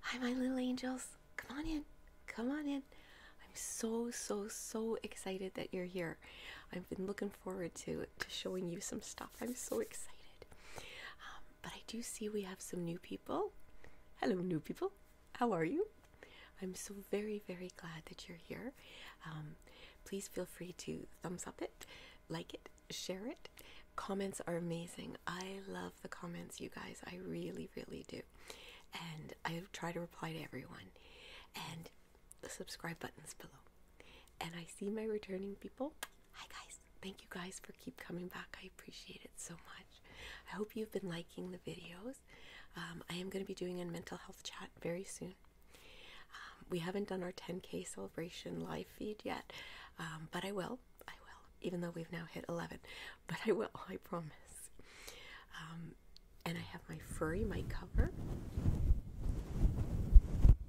Hi, my little angels. Come on in. Come on in. I'm so, so, so excited that you're here. I've been looking forward to, to showing you some stuff. I'm so excited. Um, but I do see we have some new people. Hello, new people. How are you? I'm so very, very glad that you're here. Um, please feel free to thumbs up it, like it, share it. Comments are amazing. I love the comments, you guys. I really, really do. And I try to reply to everyone. And the subscribe button's below. And I see my returning people. Hi, guys. Thank you guys for keep coming back. I appreciate it so much. I hope you've been liking the videos. Um, I am going to be doing a mental health chat very soon. Um, we haven't done our 10K celebration live feed yet, um, but I will. I will, even though we've now hit 11, but I will, I promise. Um, and I have my furry mic cover.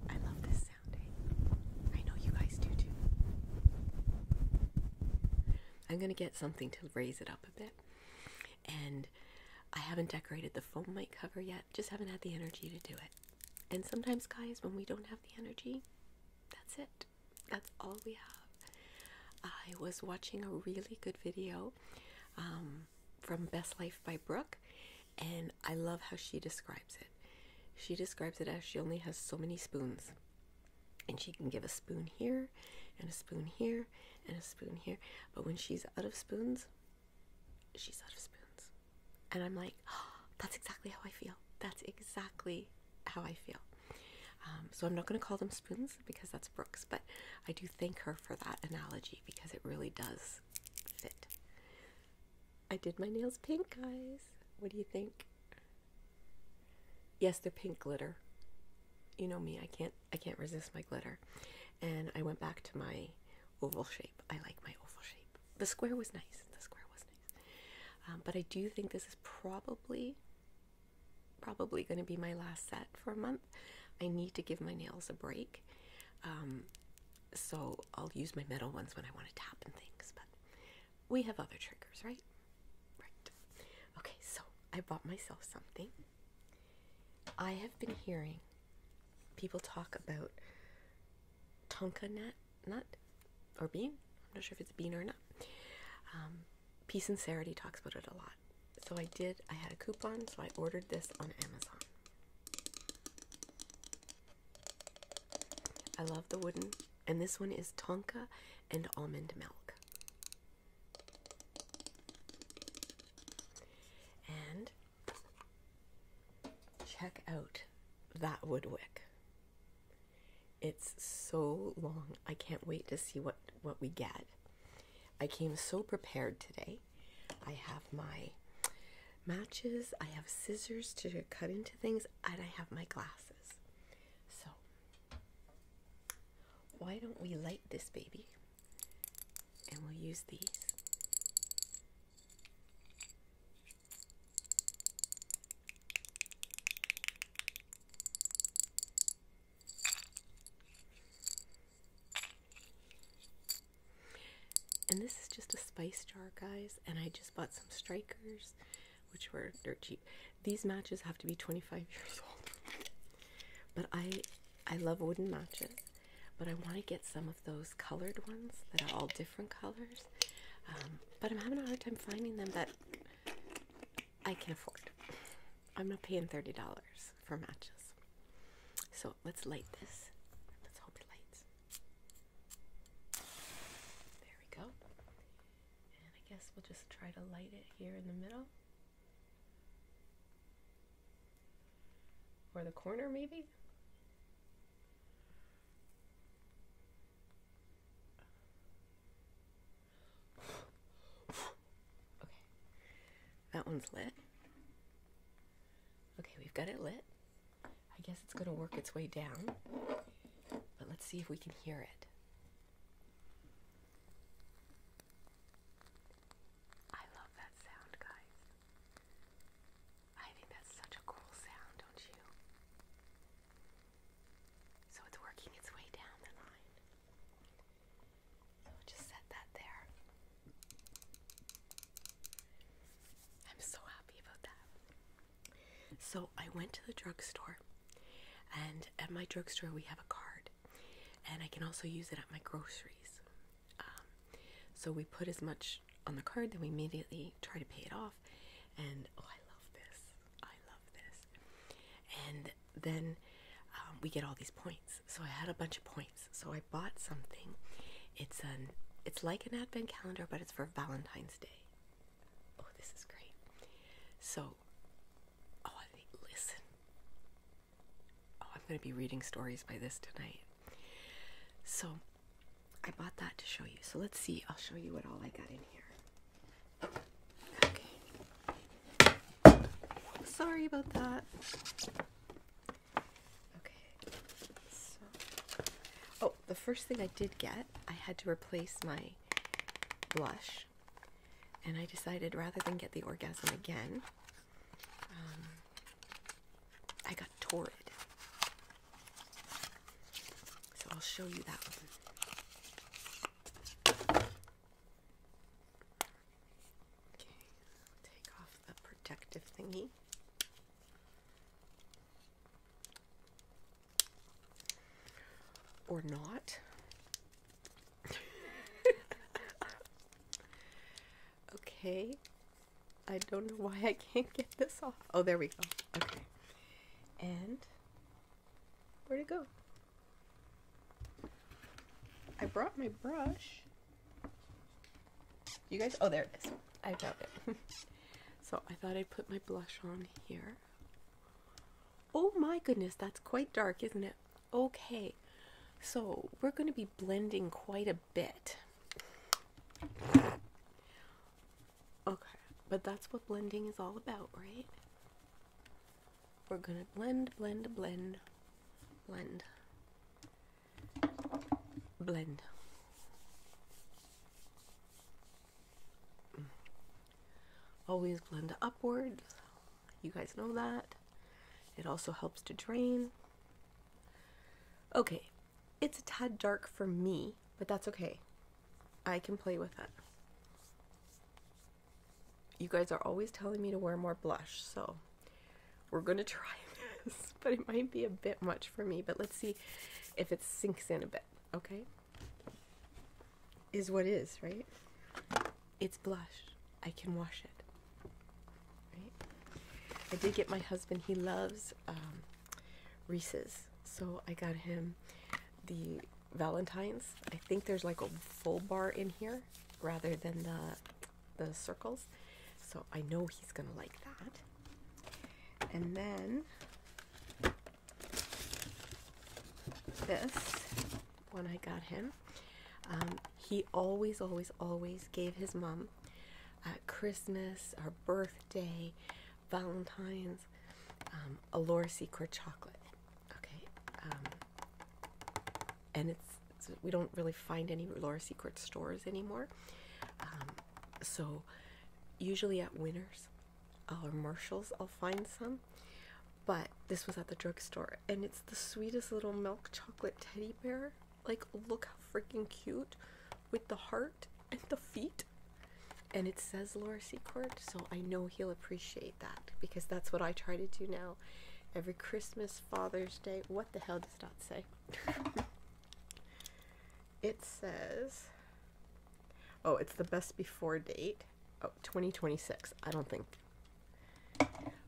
I love this sounding. Eh? I know you guys do too. I'm going to get something to raise it up a bit. And I haven't decorated the foam mic cover yet, just haven't had the energy to do it. And sometimes, guys, when we don't have the energy, that's it. That's all we have. I was watching a really good video um, from Best Life by Brooke, and I love how she describes it. She describes it as she only has so many spoons, and she can give a spoon here, and a spoon here, and a spoon here. But when she's out of spoons, she's out of spoons and I'm like, that's exactly how I feel. That's exactly how I feel. Um, so I'm not going to call them spoons because that's Brooks, but I do thank her for that analogy because it really does fit. I did my nails pink, guys. What do you think? Yes, they're pink glitter. You know me, I can't I can't resist my glitter. And I went back to my oval shape. I like my oval shape. The square was nice. The square was not um, but I do think this is probably probably going to be my last set for a month. I need to give my nails a break. Um, so I'll use my metal ones when I want to tap and things, but we have other triggers, right? Right. Okay, so I bought myself something. I have been hearing people talk about tonka net nut, or bean. I'm not sure if it's bean or nut. Um, Peace Sincerity talks about it a lot. So I did, I had a coupon, so I ordered this on Amazon. I love the wooden, and this one is Tonka and almond milk. And check out that wood wick. It's so long. I can't wait to see what what we get. I came so prepared today. I have my matches, I have scissors to cut into things, and I have my glasses. So, why don't we light this baby? And we'll use these. And this is just a spice jar, guys. And I just bought some strikers, which were dirt cheap. These matches have to be 25 years old. But I, I love wooden matches. But I want to get some of those colored ones that are all different colors. Um, but I'm having a hard time finding them that I can afford. I'm not paying thirty dollars for matches. So let's light this. Let's hope it lights. There we go. And I guess we'll just try to light it here in the middle. Or the corner, maybe? Okay. That one's lit. Okay, we've got it lit. I guess it's going to work its way down. But let's see if we can hear it. I love that sound, guys. I think that's such a cool sound, don't you? So it's working its way down the line. So i just set that there. I'm so happy about that. So I went to the drugstore, and at my drugstore, we have a card, and I can also use it at my groceries. Um, so we put as much on the card then we immediately try to pay it off. And oh, I love this. I love this. And then um, we get all these points. So I had a bunch of points. So I bought something. It's an it's like an advent calendar, but it's for Valentine's Day. Oh, this is great. So, oh, listen. Oh, I'm going to be reading stories by this tonight. So, I bought that to show you. So let's see. I'll show you what all I got in here. Okay. Sorry about that. Okay. So, oh, the first thing I did get, I had to replace my blush. And I decided rather than get the orgasm again, um, I got torrid. So I'll show you that one. Okay, take off the protective thingy. Or not. okay, I don't know why I can't get this off. Oh, there we go. Okay. And where'd it go? I brought my brush. You guys, oh, there it is. I found it. so I thought I'd put my blush on here. Oh my goodness, that's quite dark, isn't it? Okay, so we're going to be blending quite a bit. Okay, but that's what blending is all about, right? We're gonna blend, blend, blend, blend, blend. Mm. Always blend upwards. You guys know that. It also helps to drain. Okay, it's a tad dark for me, but that's okay. I can play with it. You guys are always telling me to wear more blush, so we're going to try this, but it might be a bit much for me, but let's see if it sinks in a bit, okay? Is what is, right? It's blush. I can wash it. Right? I did get my husband, he loves um, Reese's. So I got him the Valentine's. I think there's like a full bar in here rather than the the circles. So I know he's gonna like that. And then this one I got him. Um, he always, always, always gave his mom um, Christmas, our birthday, Valentine's, um, Allure Secret chocolate. Okay, um, and it's, we don't really find any Allure Secret stores anymore. Um, so usually at Winners or Marshalls, I'll find some. But this was at the drugstore, and it's the sweetest little milk chocolate teddy bear. Like, look how freaking cute with the heart and the feet. And it says Laura Secord, so I know he'll appreciate that because that's what I try to do now. Every Christmas, Father's Day, what the hell does that say? it says, oh, it's the best before date. Oh, 2026. I don't think.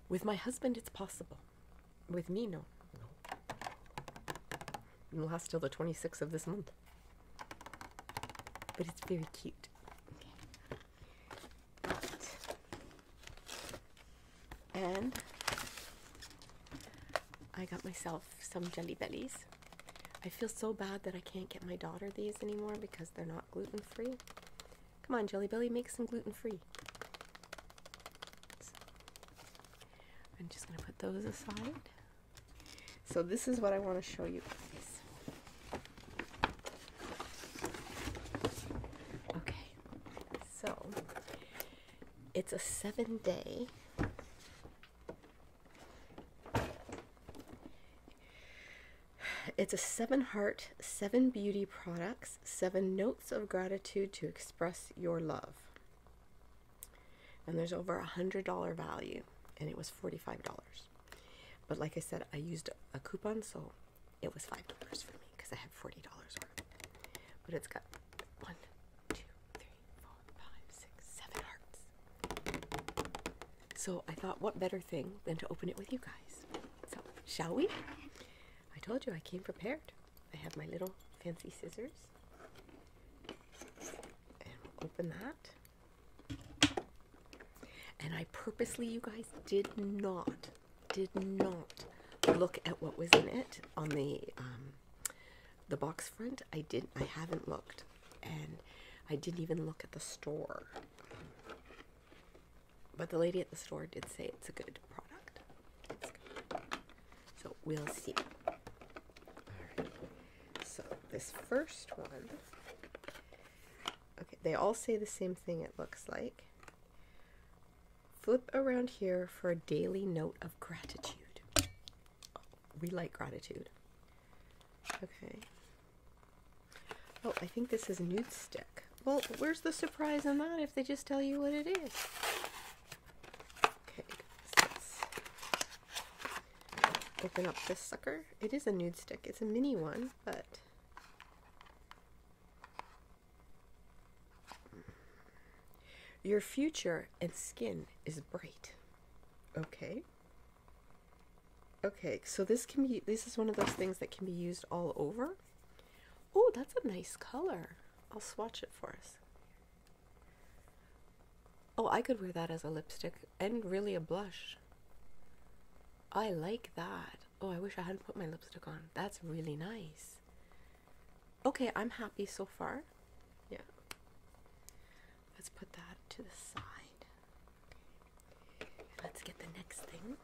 With my husband, it's possible. With me, no. No. It'll last till the 26th of this month. But it's very cute. And I got myself some Jelly Bellies. I feel so bad that I can't get my daughter these anymore because they're not gluten free. Come on, Jelly Belly, make some gluten free. I'm just going to put those aside. So this is what I want to show you guys. Okay, so it's a seven day. It's a seven heart, seven beauty products, seven notes of gratitude to express your love. And there's over a $100 value, and it was $45. But like I said, I used a coupon, so it was $5 for me because I had $40 worth. But it's got one, two, three, four, five, six, seven hearts. So I thought, what better thing than to open it with you guys? So, shall we? I told you I came prepared. I have my little fancy scissors. And open that. And I purposely, you guys, did not, did not look at what was in it on the um, the box front. I didn't, I haven't looked. And I didn't even look at the store. But the lady at the store did say it's a good product. So we'll see. So this first one. Okay, they all say the same thing, it looks like. Flip around here for a daily note of gratitude. We like gratitude. Okay. Oh, I think this is a nude stick. Well, where's the surprise in that if they just tell you what it is? Okay, open up this sucker. It is a nude stick. It's a mini one, but Your future and skin is bright. Okay. Okay, so this can be this is one of those things that can be used all over. Oh, that's a nice color. I'll swatch it for us. Oh, I could wear that as a lipstick and really a blush. I like that. Oh, I wish I hadn't put my lipstick on. That's really nice. Okay, I'm happy so far. Yeah. Let's put that to the side. Let's get the next thing.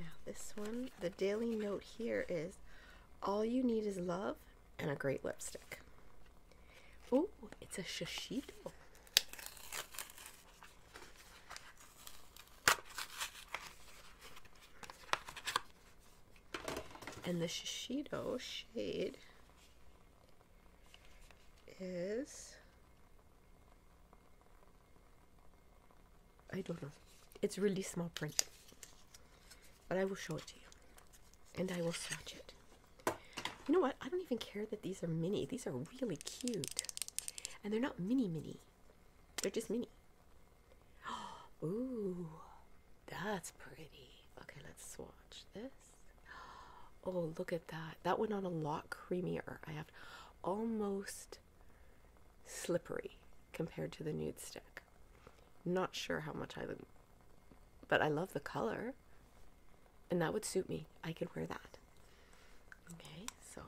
Now, this one, the daily note here is all you need is love and a great lipstick. Oh, it's a shishito. And the Shishido shade is, I don't know, it's really small print but I will show it to you and I will swatch it. You know what? I don't even care that these are mini. These are really cute. And they're not mini mini. They're just mini. Ooh, that's pretty. Okay, let's swatch this. Oh, look at that. That went on a lot creamier. I have almost slippery compared to the nude stick. Not sure how much I would, but I love the color. And that would suit me. I could wear that. Okay, so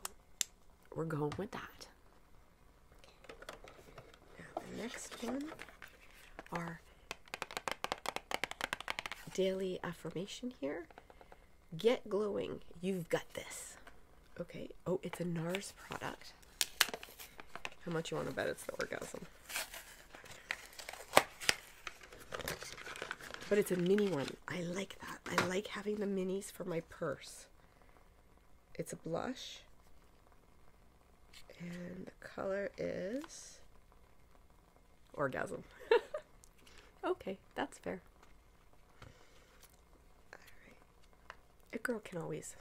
we're going with that. Now the next one are daily affirmation here. Get glowing. You've got this. Okay. Oh, it's a NARS product. How much you want to bet it's the orgasm? But it's a mini one. I like that. I like having the minis for my purse. It's a blush. And the color is orgasm. okay, that's fair a girl can always.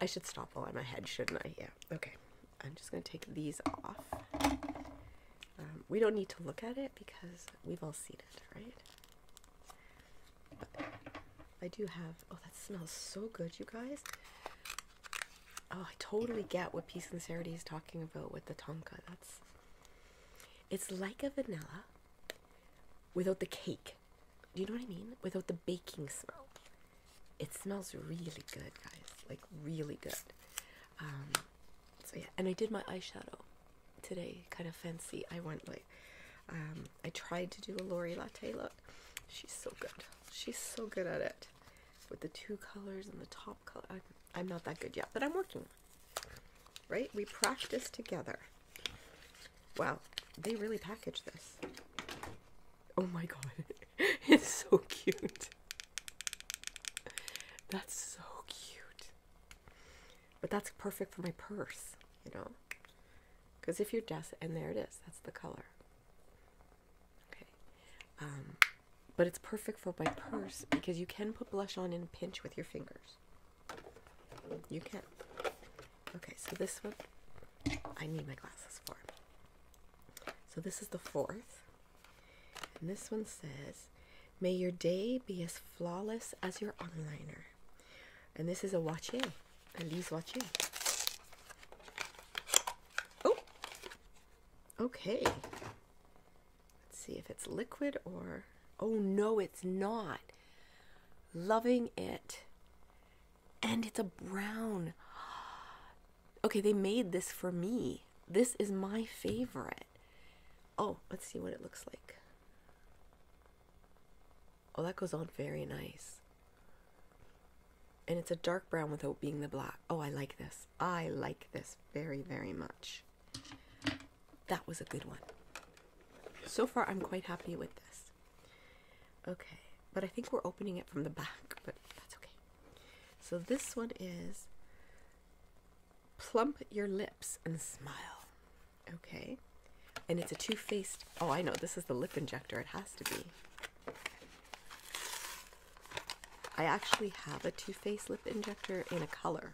I should stop while i my head, shouldn't I? Yeah, okay. I'm just going to take these off. Um, we don't need to look at it because we've all seen it, right? I do have. Oh, that smells so good, you guys. Oh, I totally get what Peace and Sincerity is talking about with the Tonka. That's. It's like a vanilla without the cake do you know what I mean? Without the baking smell. It smells really good, guys. Like, really good. Um, so, yeah. And I did my eyeshadow today. Kind of fancy. I went like, um, I tried to do a Lori Latte look. She's so good. She's so good at it. With the two colors and the top color. I'm not that good yet, but I'm working. Right? We practice together. Wow, they really package this. Oh my god, it's so cute. That's so cute. But that's perfect for my purse, you know? Because if you're desk, and there it is, that's the color. Okay. Um, but it's perfect for my purse because you can put blush on in a pinch with your fingers. You can. not Okay, so this one, I need my glasses for. So this is the fourth. And this one says, May your day be as flawless as your onliner. And this is a watcher, at least watcher. Oh, okay. Let's see if it's liquid or. Oh no, it's not loving it. And it's a brown. Okay, they made this for me. This is my favorite. Oh, let's see what it looks like. Oh, that goes on very nice. And it's a dark brown without being the black. Oh, I like this. I like this very, very much. That was a good one. So far, I'm quite happy with this. Okay, but I think we're opening it from the back, but that's okay. So this one is Plump Your Lips and Smile. Okay, and it's a two faced. Oh, I know, this is the lip injector, it has to be. I actually have a Too Faced lip injector in a color.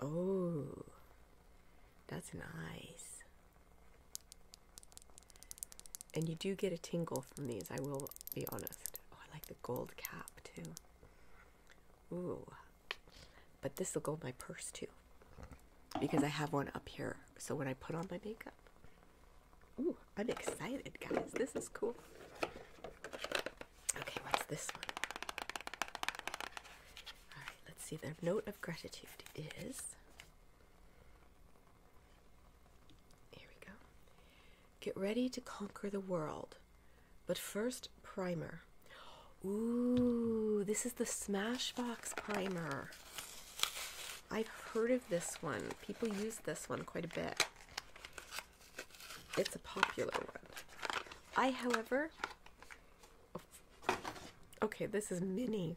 Oh, that's nice. And you do get a tingle from these, I will be honest. Oh, I like the gold cap too. Ooh. But this will go in my purse too. Because I have one up here. So when I put on my makeup. Ooh, I'm excited, guys. This is cool. Okay, what's this one? All right, let's see. Their note of gratitude is here we go. Get ready to conquer the world, but first, primer. Ooh, this is the Smashbox primer. I've heard of this one. People use this one quite a bit. It's a popular one. I, however, Okay, this is mini.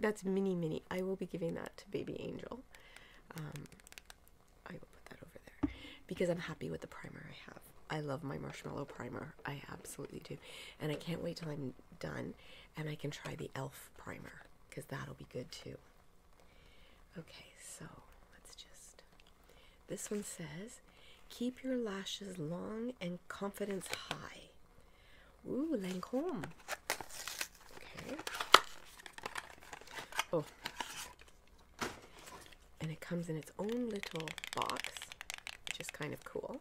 That's mini, mini. I will be giving that to Baby Angel. Um, I will put that over there because I'm happy with the primer I have. I love my marshmallow primer. I absolutely do. And I can't wait till I'm done and I can try the e.l.f. primer because that'll be good too. Okay, so let's just this one says, Keep your lashes long and confidence high. Ooh, Lancome. Okay. Oh. And it comes in its own little box, which is kind of cool.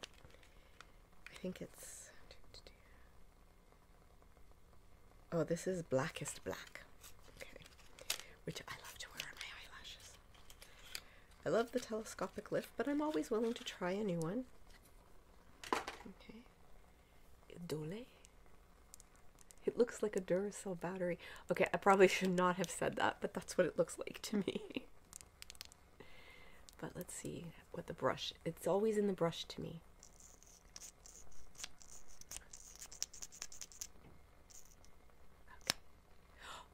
I think it's. Oh, this is Blackest Black. Okay. Which I love to wear on my eyelashes. I love the telescopic lift, but I'm always willing to try a new one. Okay. Dole. It looks like a Duracell battery. Okay, I probably should not have said that, but that's what it looks like to me. but let's see what the brush. It's always in the brush to me.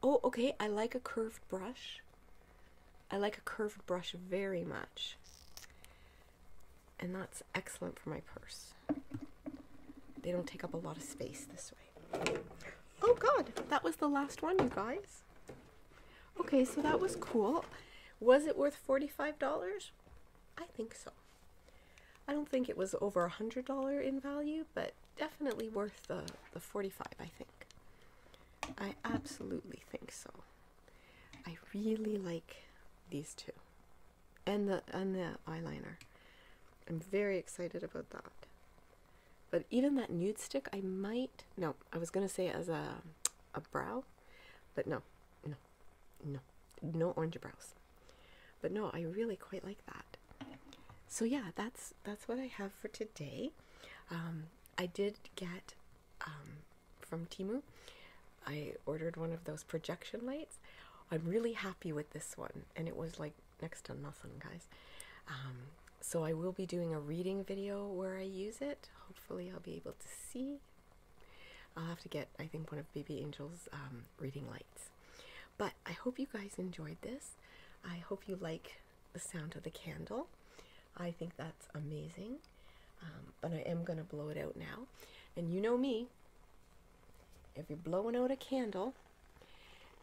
Oh, okay. I like a curved brush. I like a curved brush very much. And that's excellent for my purse. They don't take up a lot of space this way. Oh, God. That was the last one, you guys. Okay, so that was cool. Was it worth $45? I think so. I don't think it was over a $100 in value, but definitely worth the the 45 I think. I absolutely think so. I really like these two. And the and the eyeliner. I'm very excited about that. But even that nude stick I might no, I was gonna say as a a brow, but no, no, no, no orange brows. But no, I really quite like that. So yeah, that's that's what I have for today. Um, I did get um, from Timu. I ordered one of those projection lights. I'm really happy with this one, and it was like next to nothing, guys. Um, so I will be doing a reading video where I use it. Hopefully, I'll be able to see. I'll have to get, I think, one of BB Angel's reading lights. But I hope you guys enjoyed this. I hope you like the sound of the candle. I think that's amazing. Um, but I am going to blow it out now. And you know me, if you're blowing out a candle,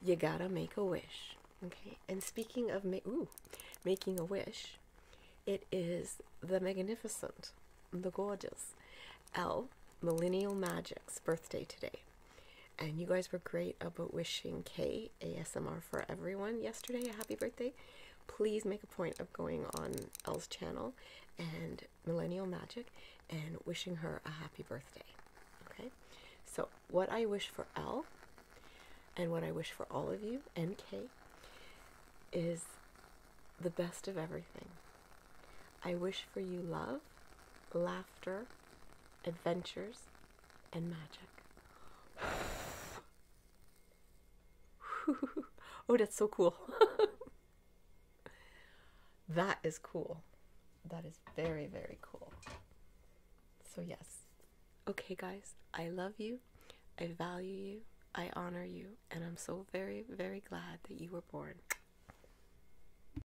you gotta make a wish. Okay, and speaking of ma making a wish, it is the magnificent, the gorgeous L Millennial Magic's birthday today. And you guys were great about wishing K ASMR for everyone yesterday a happy birthday. Please make a point of going on L's channel and Millennial Magic and wishing her a happy birthday. Okay? So, what I wish for L and what I wish for all of you and Kay is the best of everything. I wish for you love, laughter, adventures, and magic. oh, that's so cool. that is cool. That is very, very cool. So, yes. Okay, guys, I love you. I value you. I honor you. And I'm so very, very glad that you were born.